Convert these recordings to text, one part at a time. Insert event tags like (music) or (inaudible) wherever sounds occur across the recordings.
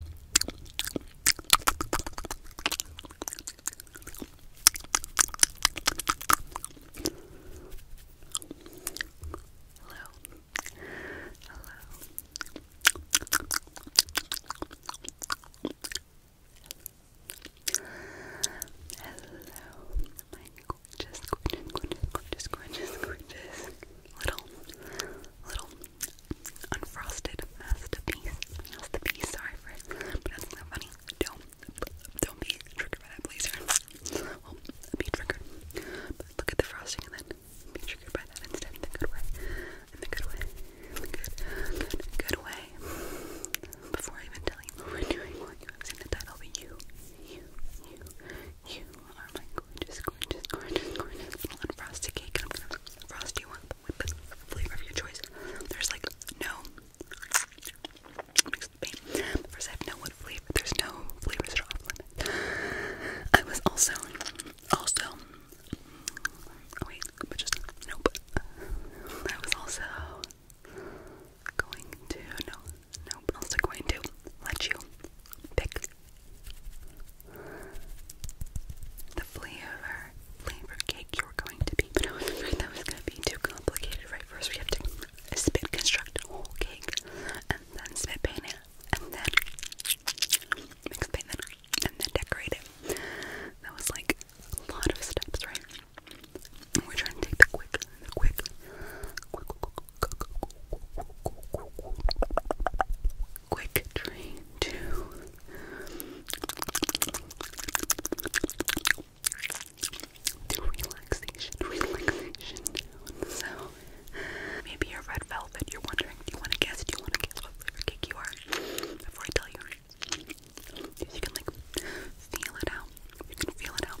Hello. Hello. Hello. My gorgeous, gorgeous, gorgeous, gorgeous, gorgeous, little, little Unfrosted masterpiece. Masterpiece. Sorry for but that's not funny. Don't, don't be triggered by that blazer. Well, be triggered. But look at the frosting and then be triggered by that instead. the good way. the good way. good, good, way. Before I even tell you what we're doing, what have seen the title, but you, you, you, you, are my gorgeous, gorgeous, gorgeous, gorgeous little unfrosted cake, and I'm gonna frost you up with the flavor of your choice. There's like no First, I have no what flavor. There's no flavors that are I was also, also, oh wait, but just nope. I was also going to no, nope. Also going to let you pick the flavor flavor cake you were going to be, that was going to be too complicated. Right, first we have to spit construct a whole cake, and then spit paint it, and then mix paint it, and then decorate it. That was like a lot of steps, right? we're trying to take the quick, the quick, quick, quick, Quick train to (laughs) relaxation, So maybe your red velvet. You're wondering. you want to guess? Do you want to guess what flavor cake you are before I tell you? you can like feel it out. You can feel it out.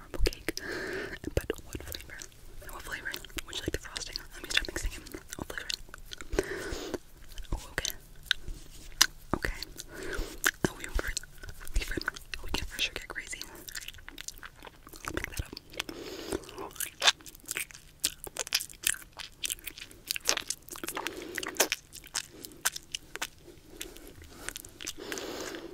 marble cake, but what flavor? What flavor? Would you like the frosting? Let me start mixing it. What flavor? Oh, okay. Okay. Oh, we, were, we, were, we can for sure get crazy. Let's pick that up.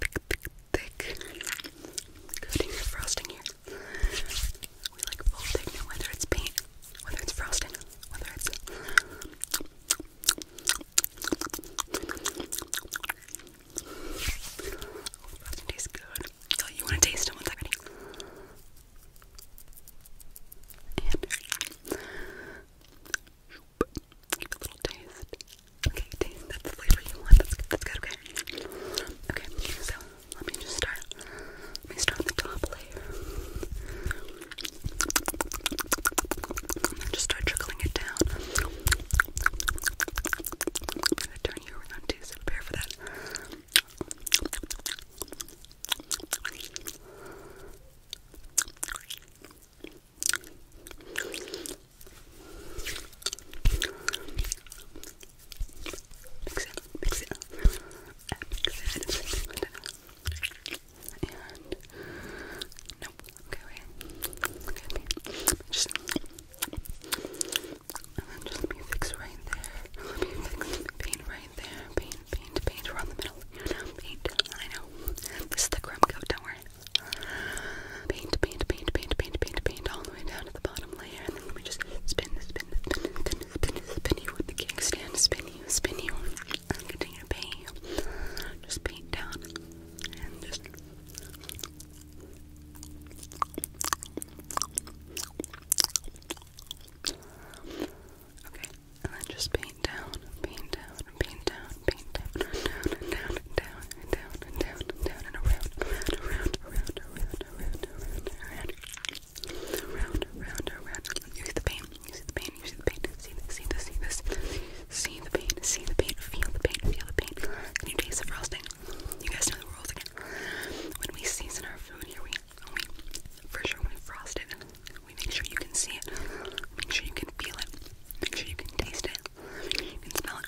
thick, thick, thick coating of frosting here. We like full pigment, whether it's paint, whether it's frosting, whether it's frosting tastes good. So you want to taste it once Give taste. Okay, taste. That's the flavor you want. That's good. Okay. Okay. So let me just start. Let me start the top layer. And then just start trickling it down. I'm gonna turn you around too, so prepare for that. Mix it, mix it, mix it, and nope, okay, wait, okay, just, and then just let me right there, let me right there, pain paint, paint around the middle. You know, paint. I know. This is the crumb coat, don't worry. Paint, paint, paint, paint, paint, paint, paint all the way down to the bottom layer. And then let me just spin, spin, spin, spin, spin, spin you with the kickstand. Spin you, spin you. And continue to paint you. Just paint down. And just. Okay, and then just paint down, paint down, paint down, paint down, down, down, down, and down, and down, and down, and around, around, around, around, around, around, around, around, around, around. You see the pain, you see the pain, you see the pain, see this, see this, see this, see the pain, see the pain, feel the pain, feel the pain. Can you taste the frosting? You guys know the rules again. When we season our food we for sure we frost it, we make sure you can see it, make sure you can feel it, make sure you can taste it, you can smell it.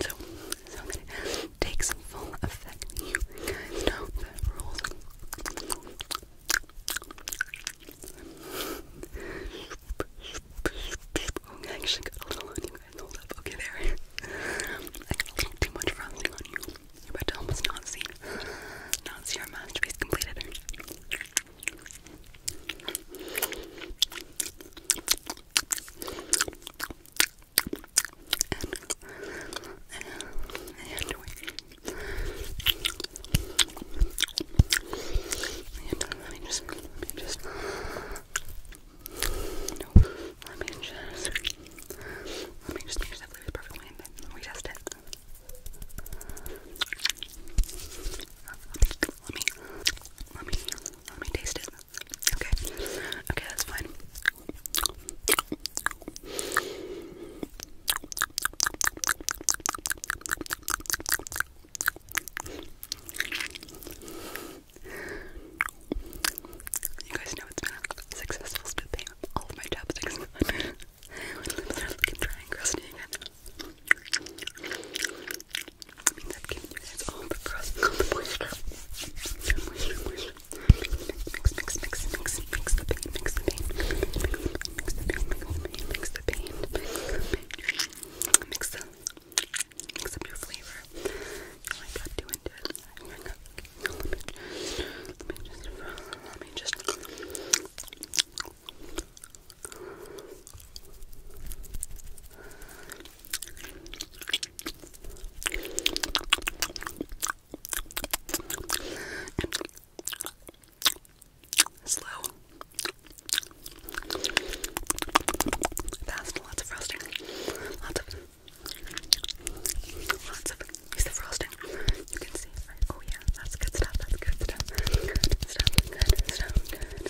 So, I'm gonna take some full effect. You know the rules. Okay, (laughs) I actually got a little on hold up. Okay, there. I got a little too much frosting on you. you almost not see, not see our masterpiece completed. let me just, just, let me just let me just make sure that blue perfectly and then we test it. let me let me let me taste it. Okay. Okay, that's fine. You guys know it's been a successful spit thing. All of my chapsticks gone. my lips and crusty again. I mean, all the crust, all Mix, mix, mix, mix, mix, mix the pain, mix the pain. Mix the pain, mix the pain, mix mix up your flavor. Oh, I got too into it. Oh my God. Let me, let me just, let me just. And slow, fast, lots of frosting, lots of, lots of, frosting, you can see, oh yeah, that's good stuff, that's good stuff, good stuff, good stuff, good,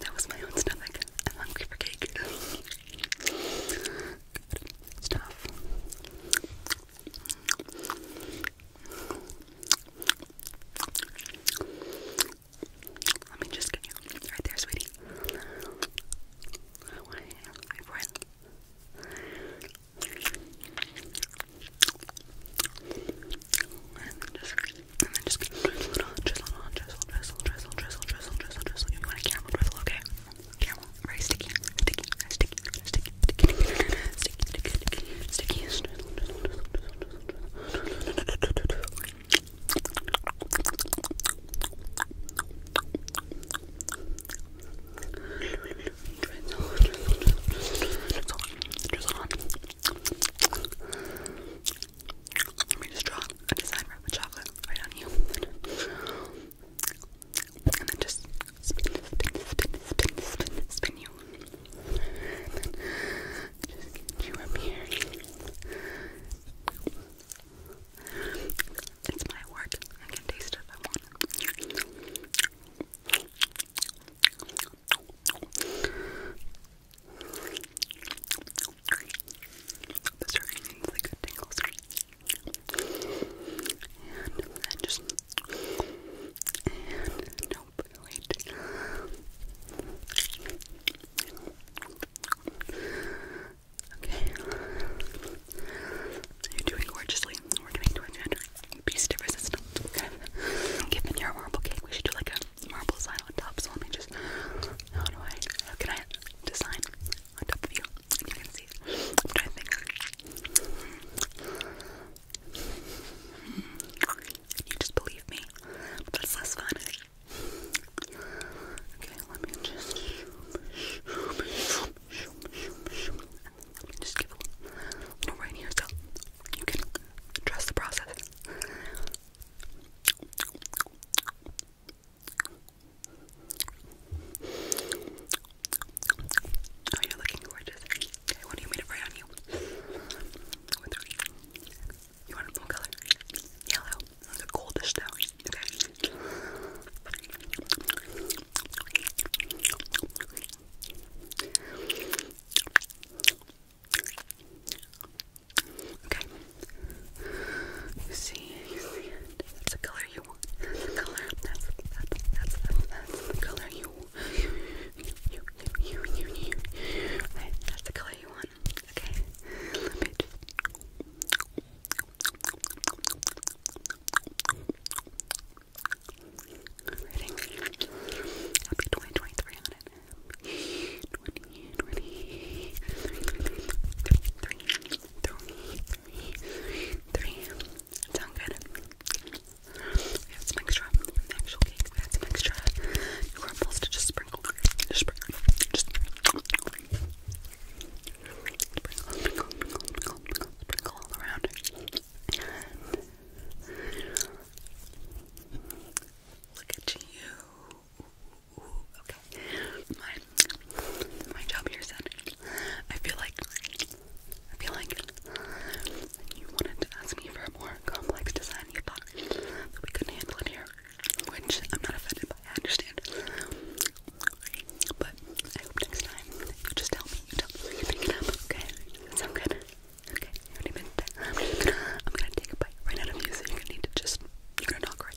that was my own stomach, I'm hungry for cake, good stuff, let me just get you right there, sweetie. I want And then just, and then just drizzle drizzle drizzle, drizzle, drizzle, drizzle, drizzle, drizzle, drizzle. You want a camel drizzle, okay? Camel, very sticky, sticky, sticky, sticky, sticky, let me just draw a design for chocolate right on you and then just spin, spin, spin, spin, spin, spin you. And then just get you up here. It's my work. I can taste it if I want. This good tingles. And then just. And nope, wait. Okay. You're doing gorgeously. We're doing torture. Piece de resistance. Okay. Given your marble cake, we should do like a marble sign on top. So let me just. How do I. can I design on top of you? You can see. I'm trying to think. You just believe me. But that's fun. Okay, let me just. just give a little right here so you can trust the process. Oh, you're looking gorgeous. Okay, what do you mean? me to write on you? You want a full color? Yellow. That's a goldish stone. Okay. Okay. You see, you see it. That's the color color. That's that. That's that. That's the color you. You. You. You. You. you. Right. That's the color you want. Okay. Let me just. Reading. Happy 2023 on it. 2023 three, three, three. Sound good? We have some extra from the We had some extra crumbles to just sprinkle. Just sprinkle. Just sprinkle. Sprinkle, all around. look at you ooh, ooh, okay. My my job here said I feel like I feel like you wanted to ask me for a more complex design you thought that we couldn't handle it here. Which I'm not offended by, I understand. But I hope next time you just tell me, you tell me you pick it up, okay? Sound good? Okay, you already meant that. I'm gonna take a bite right out of you, so you're gonna need to just you're gonna knock right